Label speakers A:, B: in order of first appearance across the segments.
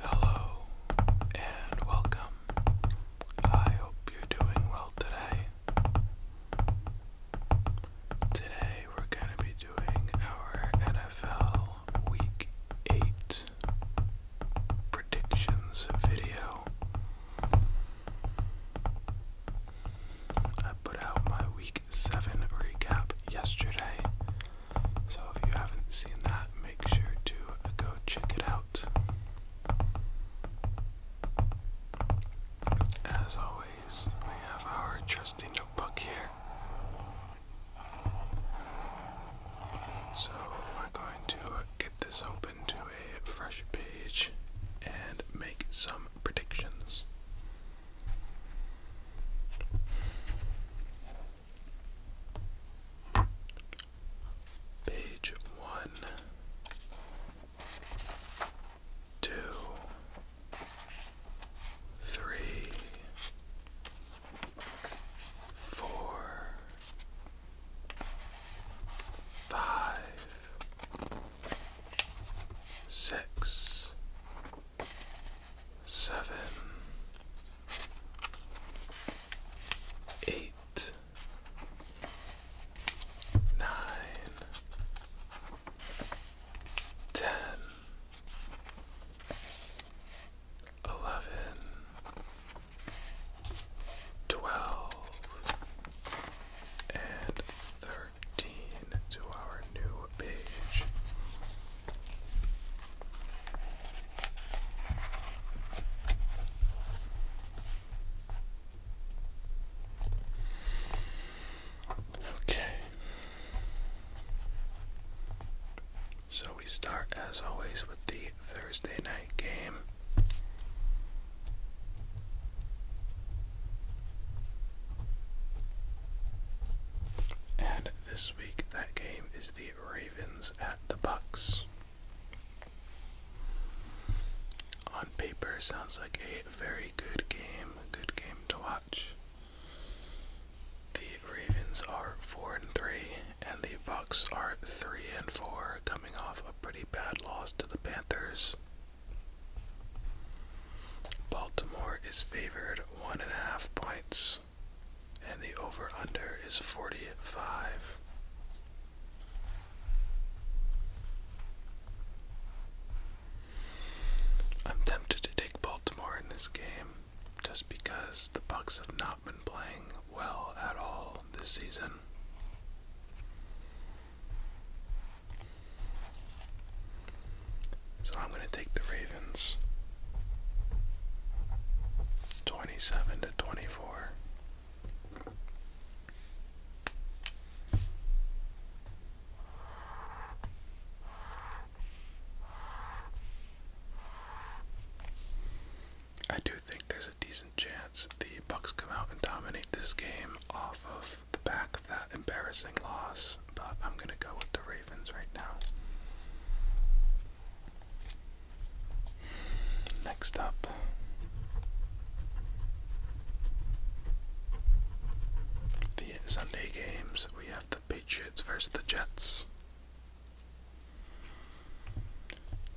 A: Hello and welcome. I hope you're doing well today. Today we're going to be doing our NFL Week 8 predictions video. I put out my Week seven recap yesterday. So if you haven't seen that, make sure to go check it out. As always, we have our trusty notebook here. So we're going to get this open to a fresh page and make some predictions. Page one, two, three, four, five, six, seven, eight, nine, ten, eleven, twelve, and thirteen. Okay. So we start as always with the Thursday night game. And this week, that game is the Ravens at the Bucks. On paper, sounds like a very good game, good game to watch. The Ravens are four and three, and the Bucks are three and four, coming off a pretty bad loss to the Panthers. Baltimore is favored one and a half points, and the over under is 45. I'm tempted to take Baltimore in this game just because the Bucks have not been playing well at all this season. So I'm going to take the Ravens 27 to 24. I do think there's a decent chance the Bucks come out and dominate this game off of the back of that embarrassing loss, but I'm going to go with the Ravens right now. Next up. The Sunday games, we have the Patriots versus the Jets.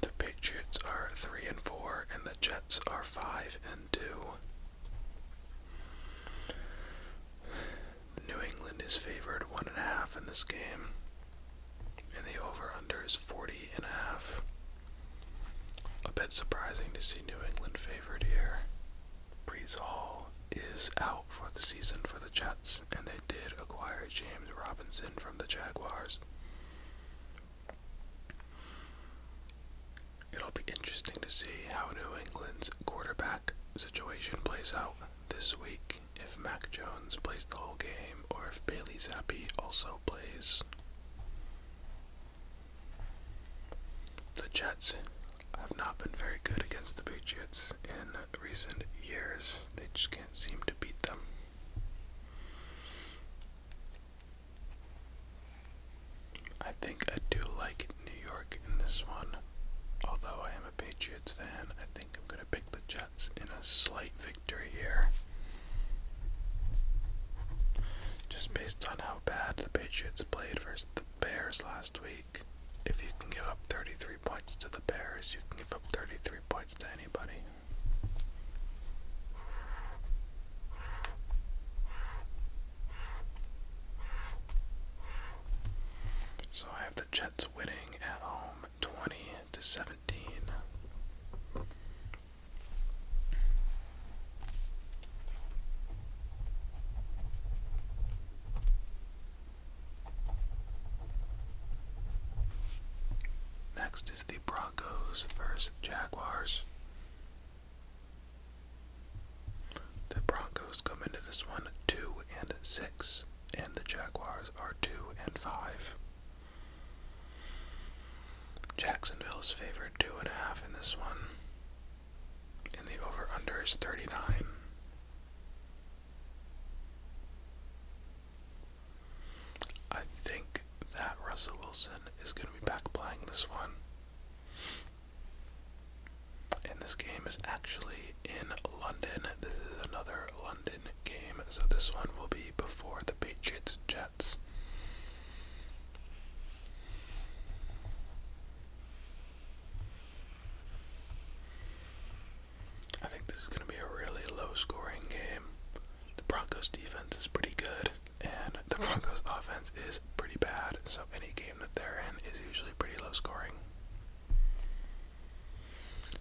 A: The Patriots are 3 and 4 and the Jets are 5 and 2. New England is favored one and a half in this game, and the over/under is 40 and a A bit surprising to see New England favored here. Brees Hall is out for the season for the Jets, and they did acquire James Robinson from the Jaguars. It'll be interesting to see how New England's quarterback situation plays out this week. If Mac Jones plays the whole game or if Bailey Zappi also plays. The Jets have not been very good against the Patriots in recent years. They just can't seem to beat them. I think I do like New York in this one. Although I am a Patriots fan, I think I'm going to pick the Jets in a slight victory here. Just based on how bad the Patriots played versus the Bears last week, if you can give up 33 points to the Bears, you can give up 33 points to anybody. So I have the Jets winning at home 20 to 17. Next is the Broncos versus Jaguars. The Broncos come into this one two and six, and the Jaguars are two and five. Jacksonville is favored two and a half in this one, and the over under is 39. I think that Russell Wilson is going to be back playing this one. And this game is actually in London. This is another London game, so this one will be before the Patriots Jets. I think this is going to be a really low scoring game. The Broncos defense is pretty good, and the Broncos offense pretty bad, so any game that they're in is usually pretty low scoring.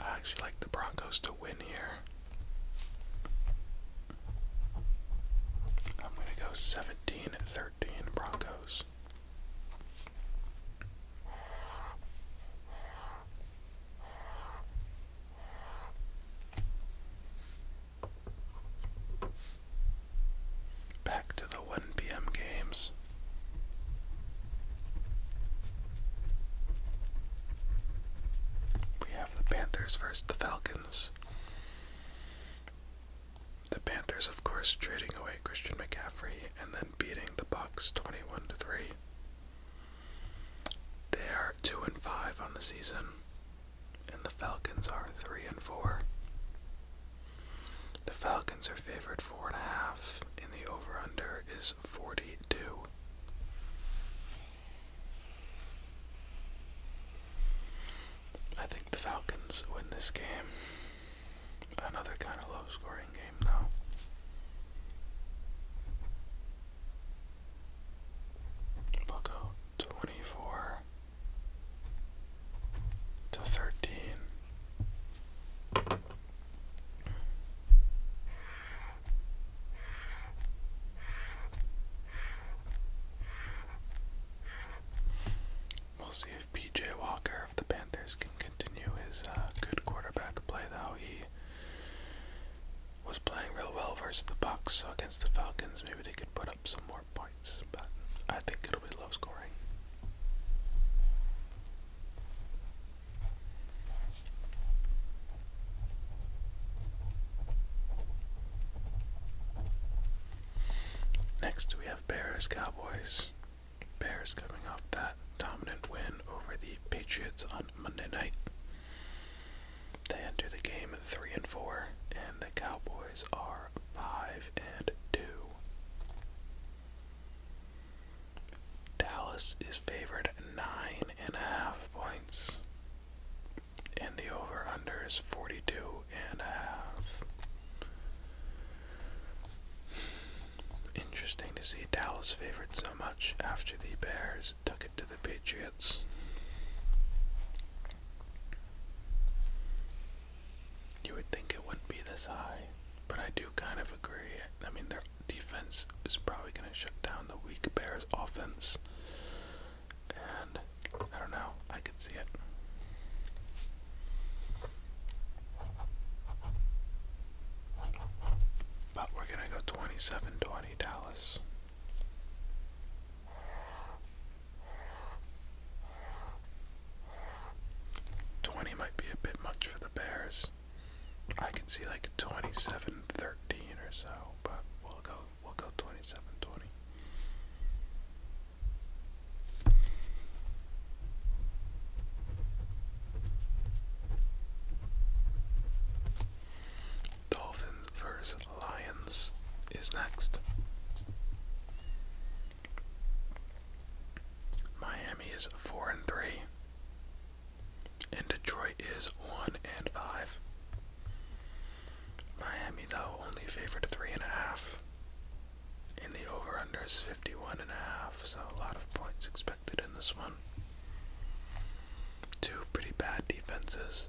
A: I actually like the Broncos to win here. I'm going to go 17 13 Broncos. Back to the 1 p.m. games. We have the Panthers versus the Falcons. The Panthers, of course, trading away Christian McCaffrey and then beating the Bucks 21 to 3. They are 2 and 5 on the season, and the Falcons are 3 and 4. The Falcons are favored four and a half, and the over/under is forty-two. I think the Falcons win this game. Another kind of low-scoring game, though. we twenty-four to thirteen. We'll see if PJ Walker of the Panthers can continue his uh, good quarterback play though. He was playing real well versus the Bucks, so against the Falcons maybe they could put some more points, but I think it'll be low scoring. Next, we have Bears Cowboys. Bears coming off that dominant win over the Patriots on Monday night. They enter the game 3 and 4, and the Cowboys are 5 and two. Dallas is favored nine and a half points. And the over under is 42 Interesting to see Dallas favored so much after the Bears took it to the Patriots. You would think it wouldn't be this high, but I do kind of agree. I mean, their defense is probably going to shut down the weak Bears' offense, and I don't know. I could see it. But we're going to go 27 Dallas. 20 might be a bit much for the Bears. I can see like 27 13 or so, but we'll go we'll go 27 20. Dolphins versus Lions is next. Miami is four and three, and Detroit is one and five. Miami, though, only favored three and a half, and the over/under is fifty-one and a half. So a lot of points expected in this one. Two pretty bad defenses.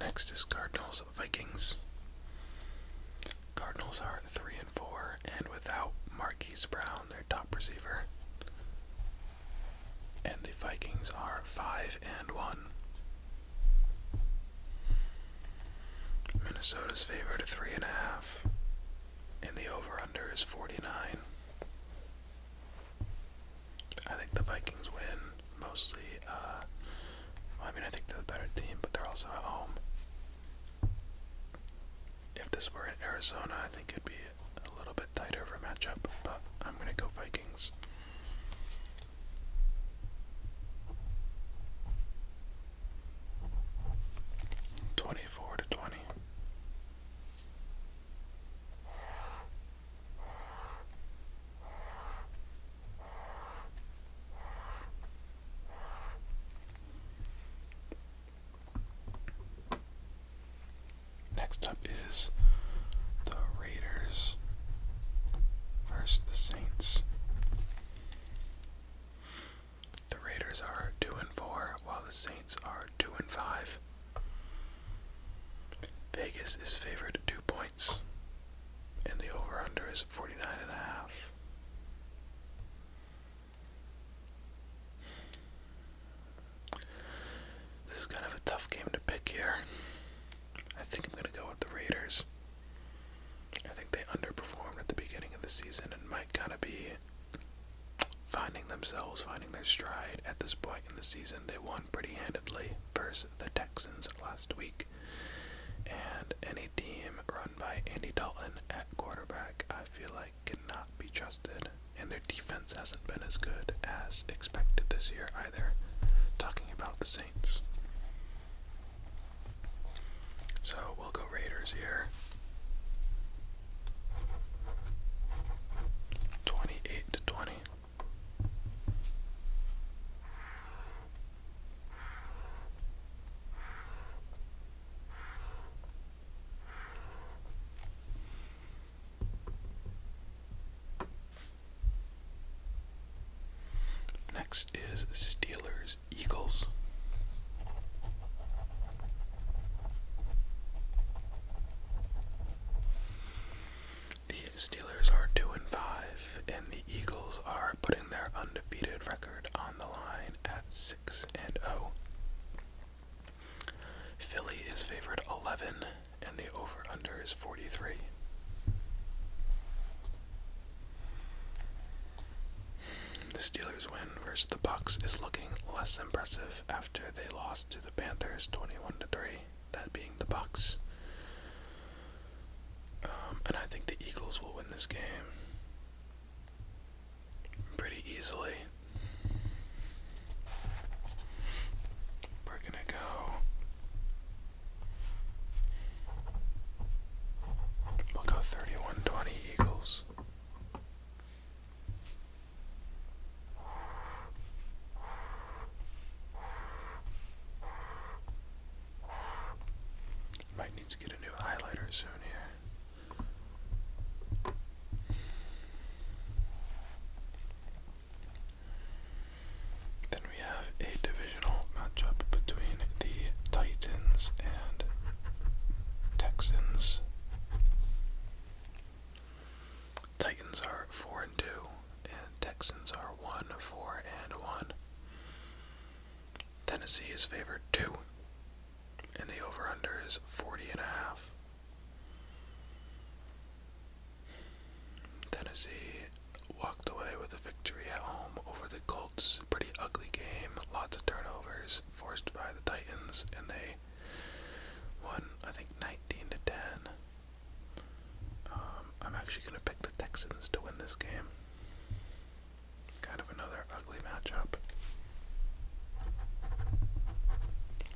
A: Next is Cardinals Vikings. Cardinals are three and four, and without Marquise Brown, their top receiver. And the Vikings are five and one. Minnesota's favored three and a half and the over under is 49. I think the Vikings win mostly. Uh, I mean, I think they're the better team, but they're also at home. If this were in Arizona, I think it'd be a little bit tighter of a matchup, but I'm going to go Vikings. 24 to 20. Next up is the Raiders versus the Saints. The Raiders are 2 and 4, while the Saints are 2 and 5. Vegas is favored 2 points, and the over under is 49 and a half. This is kind of a tough game to pick here. I think I'm going to go with the Raiders. I think they underperformed at the beginning of the season and might kind of be finding themselves, finding their stride at this point in the season. They won pretty handedly versus the Texans last week. And any team run by Andy Dalton at quarterback, I feel like cannot be trusted. And their defense hasn't been as good as expected this year either. Talking about the Saints. So we'll go Raiders here. Twenty-eight to twenty. Next is Steelers Eagles. The Steelers are 2 and 5 and the Eagles are putting their undefeated record on the line at 6 and 0. Philly is favored 11 and the over under is 43. The Steelers' win versus the Bucks is looking less impressive after they lost to the Panthers 21 to 3, that being the Bucks. Um, and I think the Eagles will win this game pretty easily. We're gonna go. We'll go 31 Eagles. Might need to get a new highlighter soon here. Then we have a divisional matchup between the Titans and Texans. Titans are four and two, and Texans are one, four, and one. Tennessee is favored two, and the over under is forty and a half. Tennessee walked away with a victory at home over the Colts. Pretty ugly game, lots of turnovers forced by the Titans, and they won, I think, 19 to 10. Um, I'm actually going to pick the Texans to win this game. Kind of another ugly matchup.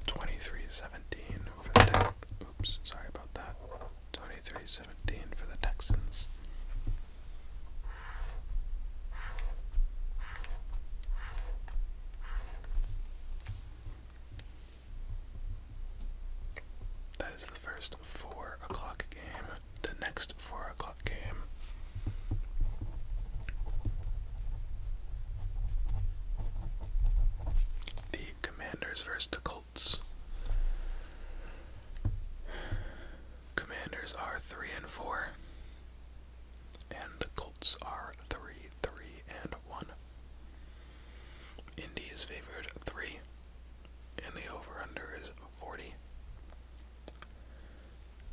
A: 23-17 for the Texans. Oops, sorry about that. 23-17 for the Texans. That is the first four o'clock game. The next four o'clock game. The Commanders versus the Colts. Commanders are three and four. And the Colts are 3 3 and 1. Indy is favored 3. And the over under is 40.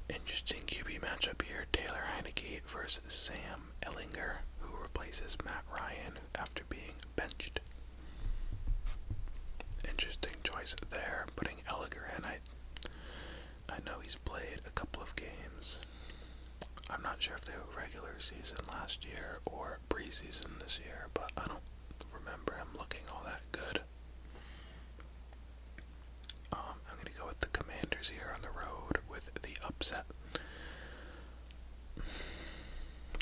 A: Interesting QB matchup here Taylor Heineke versus Sam Ellinger, who replaces Matt Ryan after being benched. Interesting choice there, putting Ellinger in. I I know he's played a couple of games. I'm not sure if they were regular season last year or preseason this year, but I don't remember him looking all that good. Um, I'm going to go with the Commanders here on the road with the upset.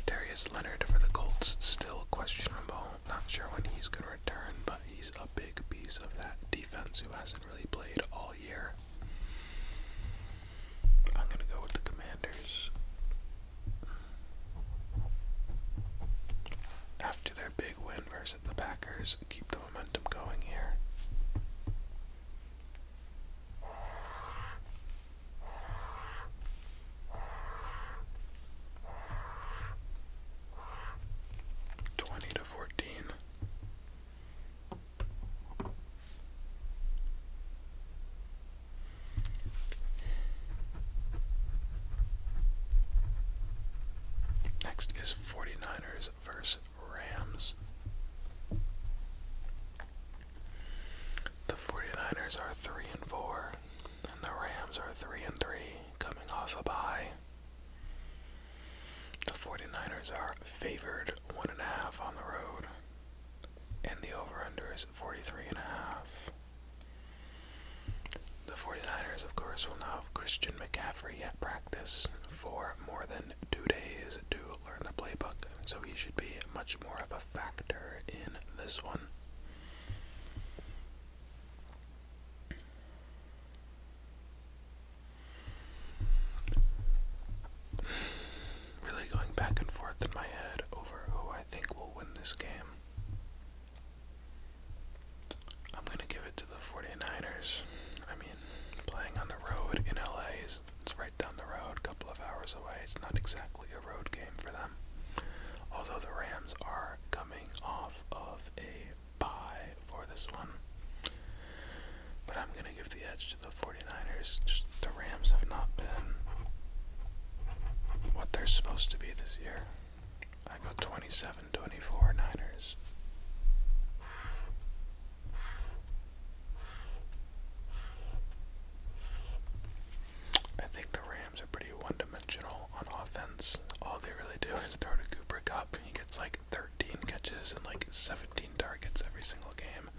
A: Darius Leonard for the Colts, still questionable. Not sure when he's going to return, but he's a big piece of that defense who hasn't really played all year. I'm gonna go with the Commanders. After their big win versus the Packers, keep the momentum going here. Twenty 14. Next is 49ers versus Rams. The 49ers are 3 and 4, and the Rams are 3 and 3, coming off a bye. The 49ers are favored 1.5 on the road, and the over under is 43.5. The 49ers, of course, will now have Christian McCaffrey at practice for more than two days to learn the playbook, so he should be much more of a factor in this one. Really going back and forth in my head over who I think will win this game. I'm going to give it to the 49ers. I mean, playing on the road in LA is it's right down the road, a couple of hours away. It's not exactly a road game for them. Although the Rams are coming off of a buy for this one. But I'm going to give the edge to the 49ers. Just the Rams have not been what they're supposed to be this year. I go 27 24 Niners. I think the Rams are pretty one dimensional on offense. All they really do is throw to Cooper Cup up. He gets like 13 catches and like 17 targets every single game.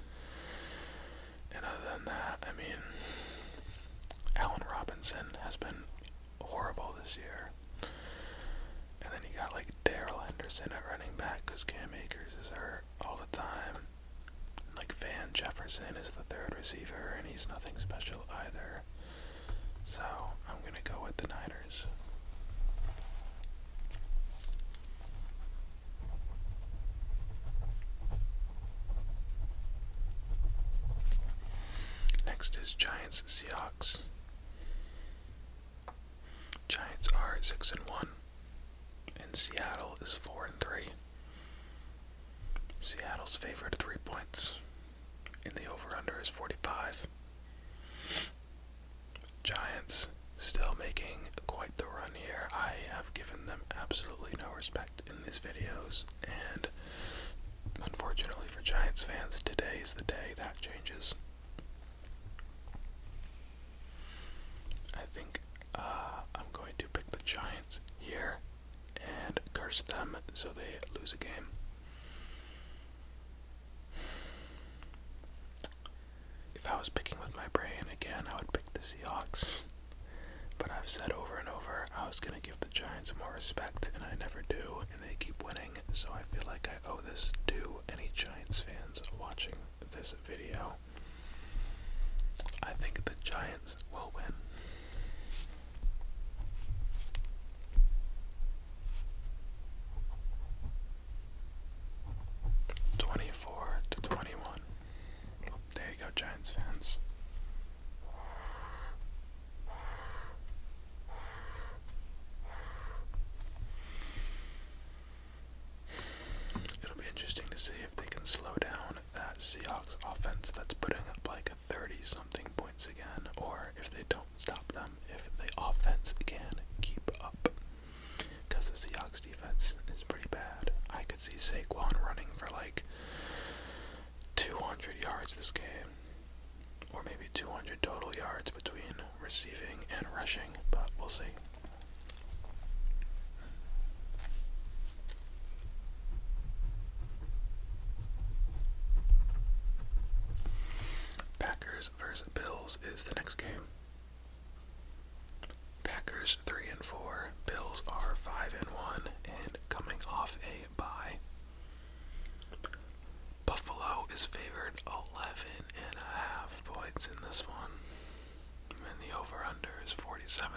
A: And other than that, I mean, Allen Robinson has been horrible this year. And then you got like Daryl Henderson at running back because Cam Akers is hurt all the time. And like Van Jefferson is the third receiver and he's nothing special either. So I'm going to go with the Niners. Next is Giants Seahawks. Giants are six and one, and Seattle is four and three. Seattle's favorite three points and the over under is 45. Giants still making quite the run here. I have given them absolutely no respect in these videos, and unfortunately for Giants fans, today is the day that changes. I think uh, I'm going to pick the Giants here and curse them so they lose a game. If I was picking with my brain again, I would pick the Seahawks. But I've said over and over I was going to give the Giants more respect, and I never do, and they keep winning, so I feel like I owe this to any Giants fans watching this video. I think the Giants will win. 24 to 21. There you go, Giants fans. It'll be interesting to see if they can slow down that Seahawks offense that's putting up like 30 something points again, or if they don't stop them, if the offense can keep up. Because the Seahawks defense is pretty bad. I could see Saquon running for like 200 yards this game, or maybe 200 total yards between receiving and rushing, but we'll see. Packers vs. Bills is the next game. Packers 3 and 4, Bills are 5 and 1 and coming off a bye. Buffalo is favored 11 points in this one. And the over under is 47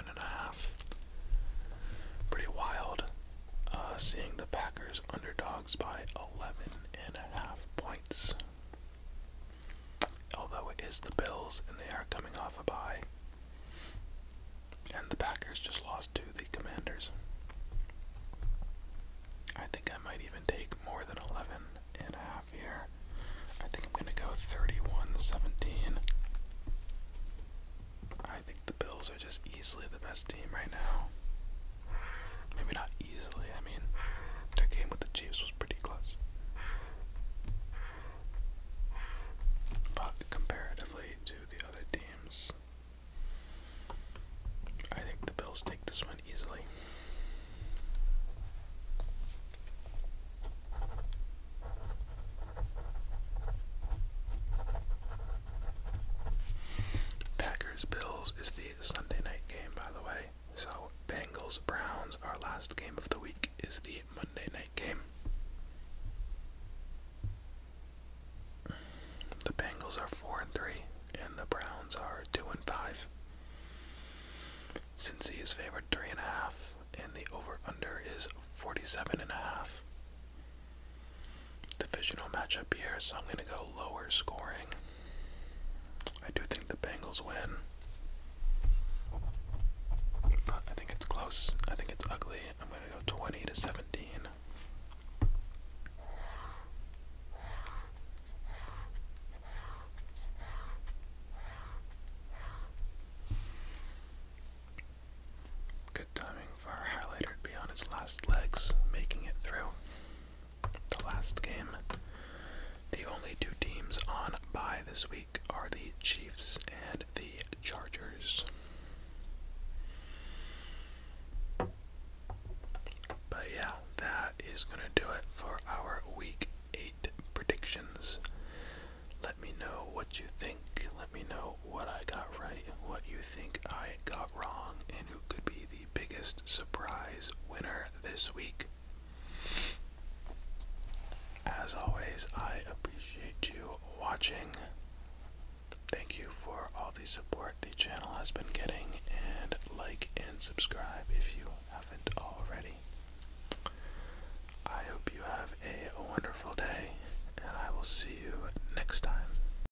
A: Pretty wild uh, seeing the Packers underdog by 11 points. Although it is the Bills and they are coming off a bye. And the Packers just lost to the Commanders. I think I might even take more than 11 and a half here. I think I'm going to go 31 17. I think the Bills are just easily the best team right now. Maybe not easily, I mean, their game with the Chiefs was pretty close. But comparatively to the other teams, I think the Bills take this one easily. Packers Bills. Bengals is the Sunday night game, by the way. So, Bengals Browns, our last game of the week, is the Monday night game. The Bengals are 4 and 3, and the Browns are 2 and 5. Cincy is favored 3.5, and, and the over under is 47.5. Divisional matchup here, so I'm going to go lower scoring. I do think the Bengals win. I think it's close. I think it's ugly. I'm going to go 20 to 17 timing for our highlighter to be on its last legs, making it through the last game. The only two teams on bye this week are the Chiefs and the Chargers. But yeah, that is going to do it for our week 8 predictions. Let me know what you think. Let me know what I got right, what you think I got wrong, and who could be the biggest surprise winner this week. As always, I appreciate you watching. Thank you for all the support the channel has been getting, and like and subscribe if you haven't already. I hope you have a wonderful day, and I will see you next time.